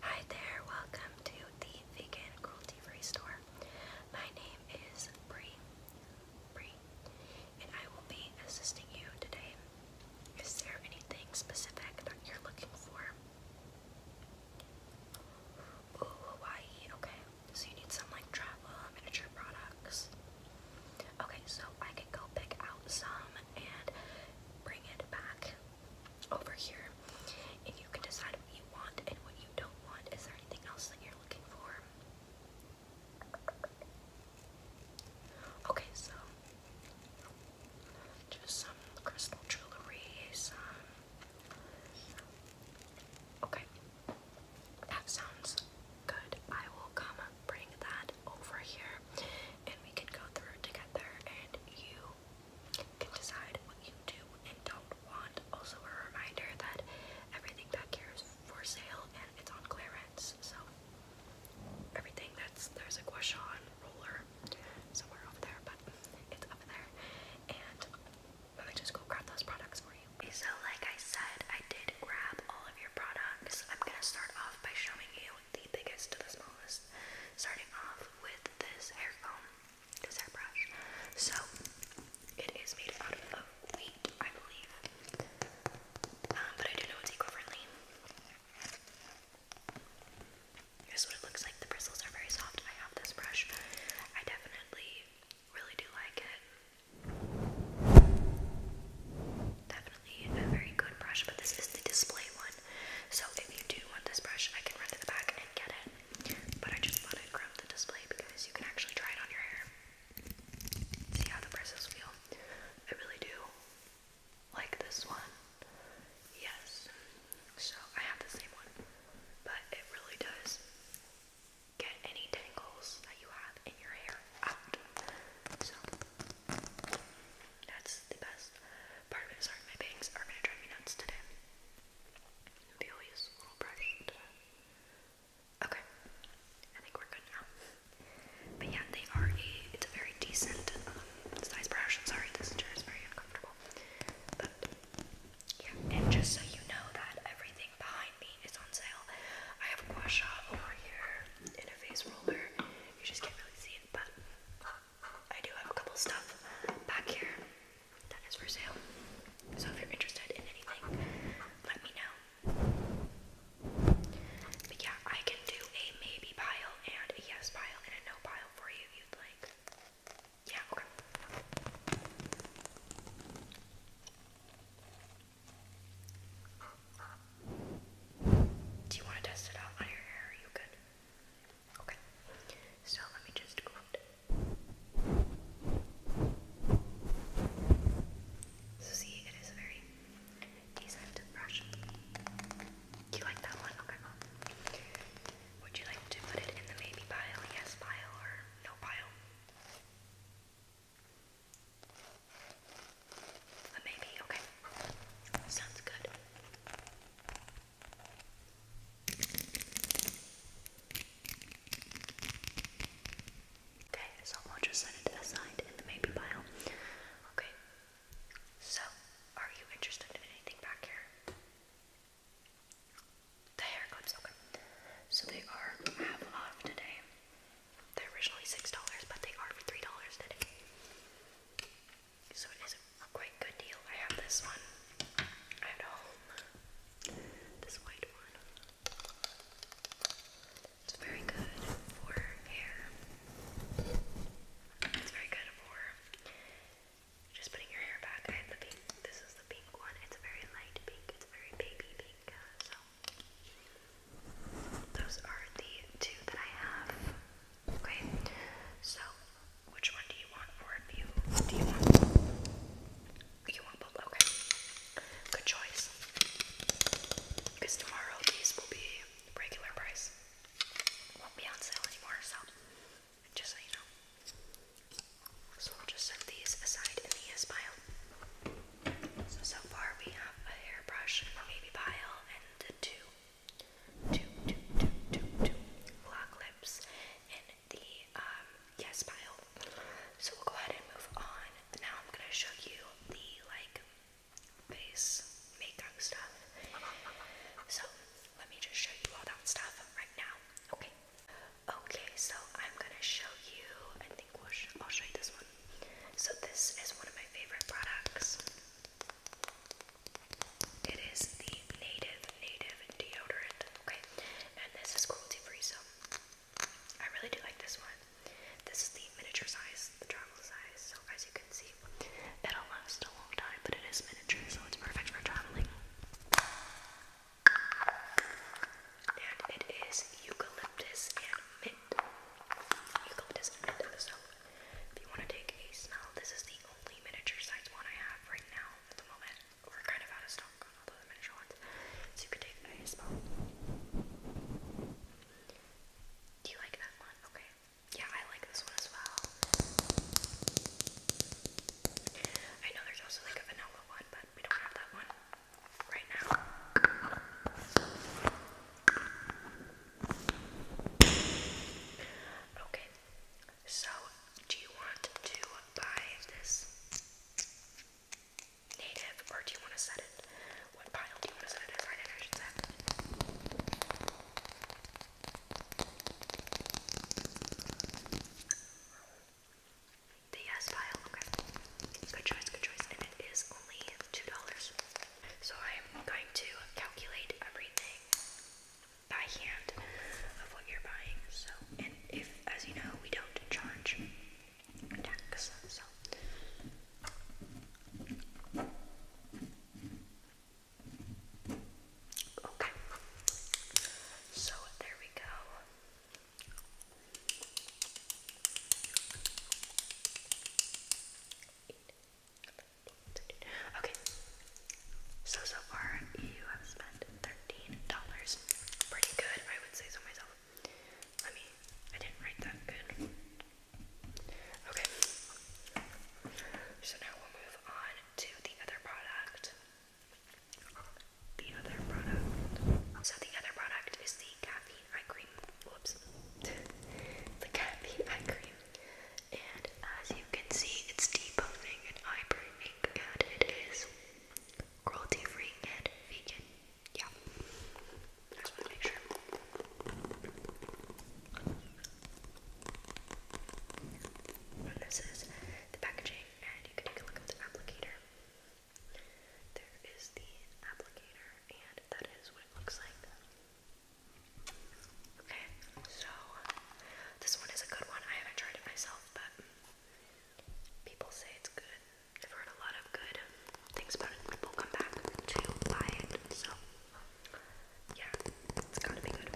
Hi there, welcome to the vegan cruelty free store. My name is Bree, Bree, and I will be assisting you today. Is there anything specific that you're looking for? Ooh, Hawaii, okay. So you need some like travel miniature products. Okay, so I can go pick out some and bring it back over here and you can decide what you want and what you don't want. Is there anything else that you're looking for? Okay, so just some crystal jewelry, Okay, that sounds good. I will come bring that over here and we can go through together and you can decide what you do and don't want. Also, a reminder that everything back here is for sale and it's on clearance. So, everything that's there's a Guashan roller somewhere over there, but it's up there. And let me just go grab those products for you. so, like I said, I did grab all of your products. I'm gonna start off by showing you the biggest to the smallest. Starting off with this hair comb this hairbrush. So it is made out of wheat, I believe. Um, but I do know it's eco-friendly. Here's what it looks like. The bristles are very soft. I have this brush. I definitely really do like it. Definitely a very good brush, but this is the display one. So if you do want this brush, I can run to the back and get it. But I just want to grab the display because you can actually try it on your hair. See how the bristles feel. I really do like this one. Yes. So I have the same one. But it really does get any tangles that you have in your hair out. So that's the best. Part of it is sorry, my bangs are gonna drive me nuts today. Maybe i little brush Okay, I think we're good now. But yeah, they are a, it's a very decent um, size brush. I'm sorry, this chair is very uncomfortable. But yeah, and just so you know that everything behind me is on sale. I have a gua sha over here in roller. You just can't really see it, but I do have a couple stuff back here that is for sale. So if you're interested in anything, let me know. But yeah, I can do a maybe pile and a yes pile and a no pile for you you'd like. Yeah, Do you want to test it out on your hair? Are you good? Okay, so let me just go see, it is a very decent brush. you like that one? Okay. Would you like to put it in the maybe pile, yes pile, or no pile? The maybe, okay. Sounds good. Okay, so I'll just set it aside in the maybe pile. Okay, so are you interested in anything back here? The haircuts, okay. So they are half off today. They're originally $6, but they are for $3 today so it is a quite good deal. I have this one at home, this white one. It's very good for hair. It's very good for just putting your hair back. I had the pink. This is the pink one. It's a very light pink. It's very baby pink. Uh, so those are the two that I have. Okay, so which one do you want for a view? Do you want You want both? Okay. Good choice. Because tomorrow these will be regular price. Won't be on sale anymore, so just so you know. So we'll just set these aside in the pile. So far we have a hairbrush in the baby pile and the two, two, two, two, two, two lock lips in the um, pile. So we'll go ahead and move on. Now I'm gonna show you the like face makeup stuff. So let me just show you all that stuff right now. Okay. Okay, so I'm gonna show you. I think we I'll show you this one. So this is one of my favorite products. It is the native, native deodorant. Okay, and this is cruelty free, so I really do like this one. This is the miniature size, the travel size, so as you can see, it'll last a long time, but it is miniature, so it's perfect for traveling. And it is eucalyptus and mint. Eucalyptus and mint. So, if you want to take a smell, this is the only miniature size one I have right now at the moment we're kind of out of stock on all the miniature ones, so you Do you like that one? Okay. Yeah, I like this one as well. I know there's also like a vanilla one, but we don't have that one right now. Okay, so, do you want to buy this native or do you want to set it? What pile do you want to set it as? The yes pile, okay. Good choice, good choice. And it is only $2. So I'm going to calculate everything by hand of what you're buying. So, and if, as you know, we don't charge tax, so. Okay. So there we go. Okay, so, so far, you have spent $13. Pretty good, I would say so myself. Let me, I didn't write that good. Okay. So now we'll move on to the other product. The other product. So the other product is the caffeine eye cream. Whoops. the caffeine eye cream. And as you can see, it's debuffing and eyebrow ink, it is cruelty free and vegan. Yeah. I just want to this is the packaging, and you can take a look at the applicator. There is the applicator, and that is what it looks like. Okay, so this one is a good one. I haven't tried it myself myself, but people say it's good. I've heard a lot of good things about it. People come back to buy it, so yeah, it's gotta be good.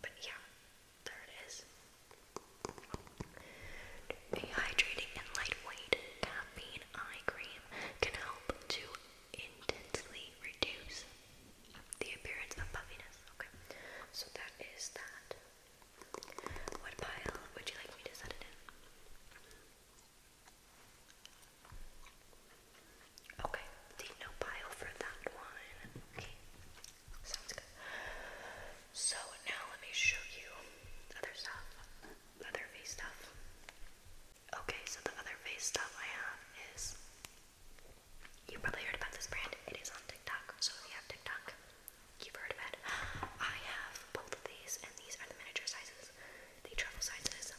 But yeah, there it is. A hydrating and lightweight caffeine eye cream can help to intensely reduce the appearance of puffiness. Okay. So that is that. What pile would you like me to set it in? Okay, the no pile for that one. Okay. Sounds good. So now let me show you other stuff. Other face stuff. Okay, so the other face stuff I have is you probably heard about this brand. It is on TikTok, so if you have TikTok, you've heard of it. I have both of these, and these are the miniature sizes, the travel sizes.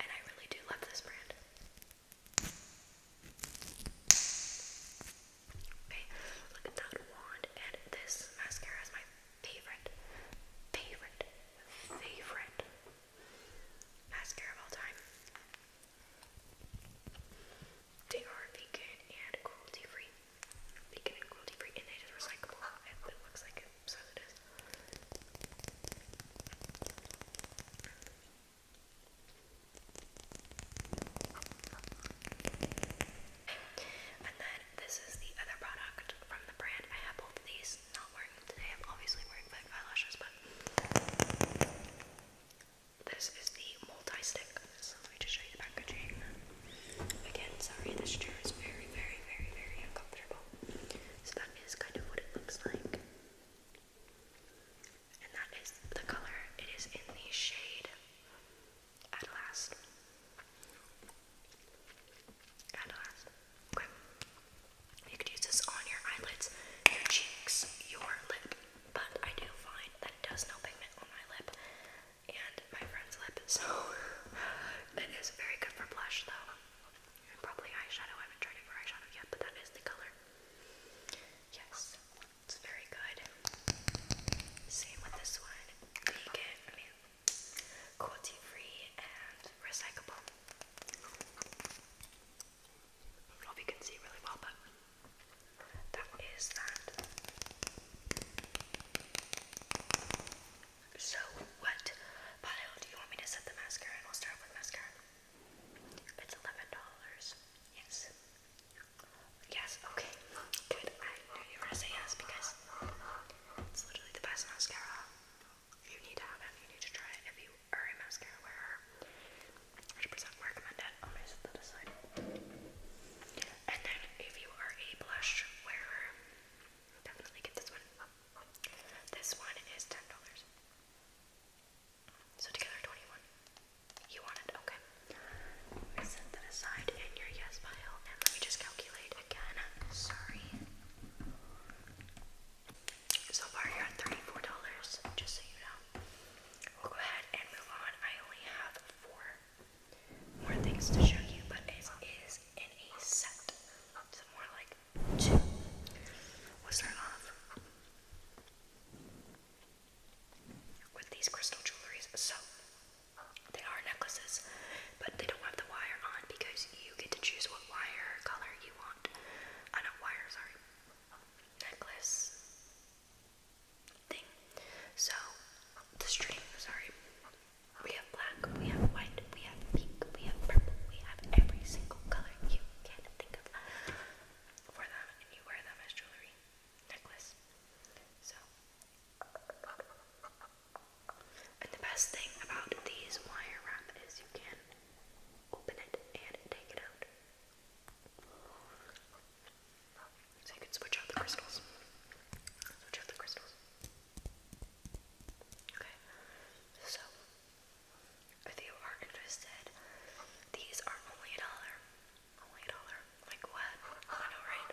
And I really do love this brand. Okay, look at that wand, and this mascara is my favorite, favorite, favorite mascara of all time. They are vegan and cruelty free. Vegan and cruelty free, and it is recyclable. It looks like so it is. And then this is the other product from the brand. I have both of these. I'm obviously wearing fake eyelashes, but this is the multi-stick. let me just show you the packaging. Again, sorry, this chair is very, very, very, very uncomfortable. So that is kind of what it looks like. And that is the color. It is in the shade At Last. You could use this on your eyelids, your cheeks, your lip, but I do find that it does no pigment on my lip and my friend's lip, so it is very good for blush though. probably eyeshadow. I haven't tried it for eyeshadow yet, but that is the color. Yes, it's very good. Same with this one. Vegan, cruelty free and recyclable. I don't know if you can see really well, but that is that. So, what pile do you want me to set the mascara in? I'll start with mascara. It's $11. Yes. Yes, okay. Good. I knew you were going to say yes because it's literally the best mascara. You need to have it. You need to try it. If you Uri mascara wearer. 100% recommended. I'll just set that aside. And then if you are a blush wearer, definitely get this one. This one is $10. So together 21 You want it? Okay. set that aside in your yes pile and let me just calculate again. Sorry. So far you're at $34, just so you know. We'll go ahead and move on. I only have four more things to show you, but it is in a set. So more like two. We'll off with these crystal jewelries. So they are necklaces, but they don't have the wire on because you get to choose what wire color you want. I know wire, sorry necklace thing. So, the string, sorry. We have black, we have white, we have pink, we have purple, we have every single color you can think of for them, and you wear them as jewelry, necklace. So, and the best thing about these wire wrap is you can open it and take it out. So you can switch out the crystals. Switch out the crystals. Okay. So if you are interested, these are only a dollar. Only a dollar. Like what? I know, right?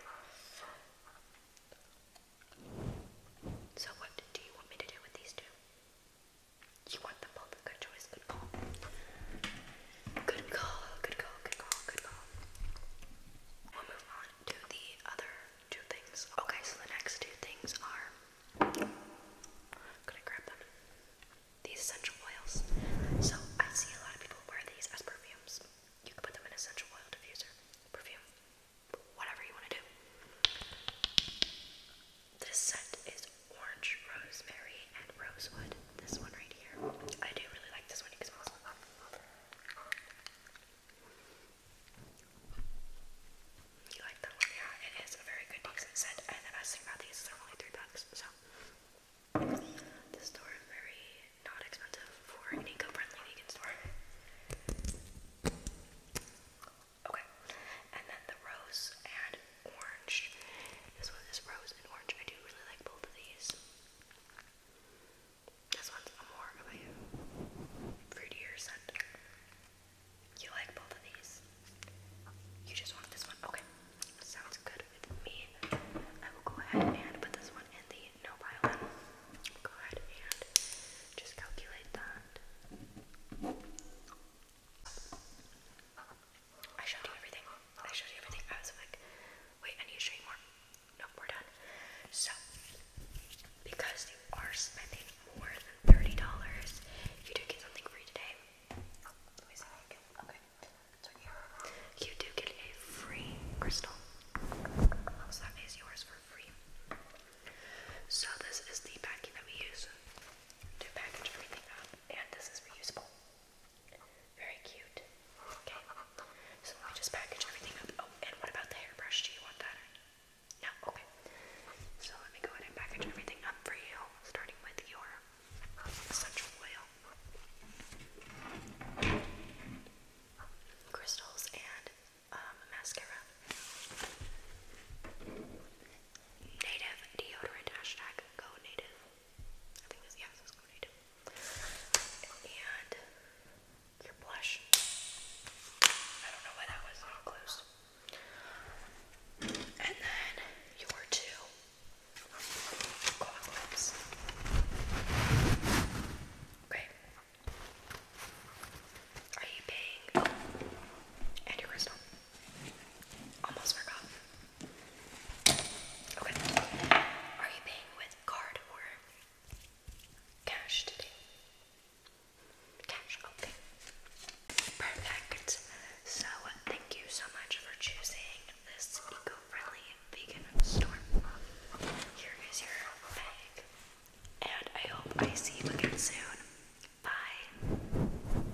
So what do you want me to do with these two? You want the public or choice? Good call. Good call, good call, good call, good call. We'll move on to the other two things. Okay, so the next two things are. Gonna grab them. These essential oils. So I see a lot of people wear these as perfumes. You can put them in essential oil diffuser, perfume, whatever you want to do. This scent is orange, rosemary, and rosewood. This one right here. I do really like this one. because can smell some You like that one? Yeah, it is a very good, decent scent. And the best thing about these is they're only three bucks. So, this store is very not expensive for an eco-friendly vegan store. Okay. And then the rose and orange. This one is rose and orange. I do really like both of these. This one's a more of scent. You like both of these? You just want this one? Okay. Sounds good with me. I will go ahead and put this one in the no pile. Go ahead and just calculate that. I showed you everything. I showed you everything. I was like, wait, I need to show you more. Nope, we're done. So, because you are spending more than $30, you do get something free today. Oh, let me see if Okay, it's right here. You do get a free crystal. that is yours for free. So, this is the packet we use to package everything up, and this is reusable. Very cute. Okay, so we just package everything up. Oh, and what about the hairbrush? Do you want that? No? Okay. So let me go ahead and package everything up for you, starting with your essential oil, crystals, and um, mascara native deodorant hashtag go native. I think this yeah, this go native. And your blush. I don't know why that was not close. And then your two clock lips. Okay. Are you paying? Oh. And your crystal. Almost forgot. Okay. Are you paying with card or cash today? Cash, okay. Perfect. So, thank you so much for choosing this eco friendly vegan store. Here is your bag. And I hope I see you again soon. Bye.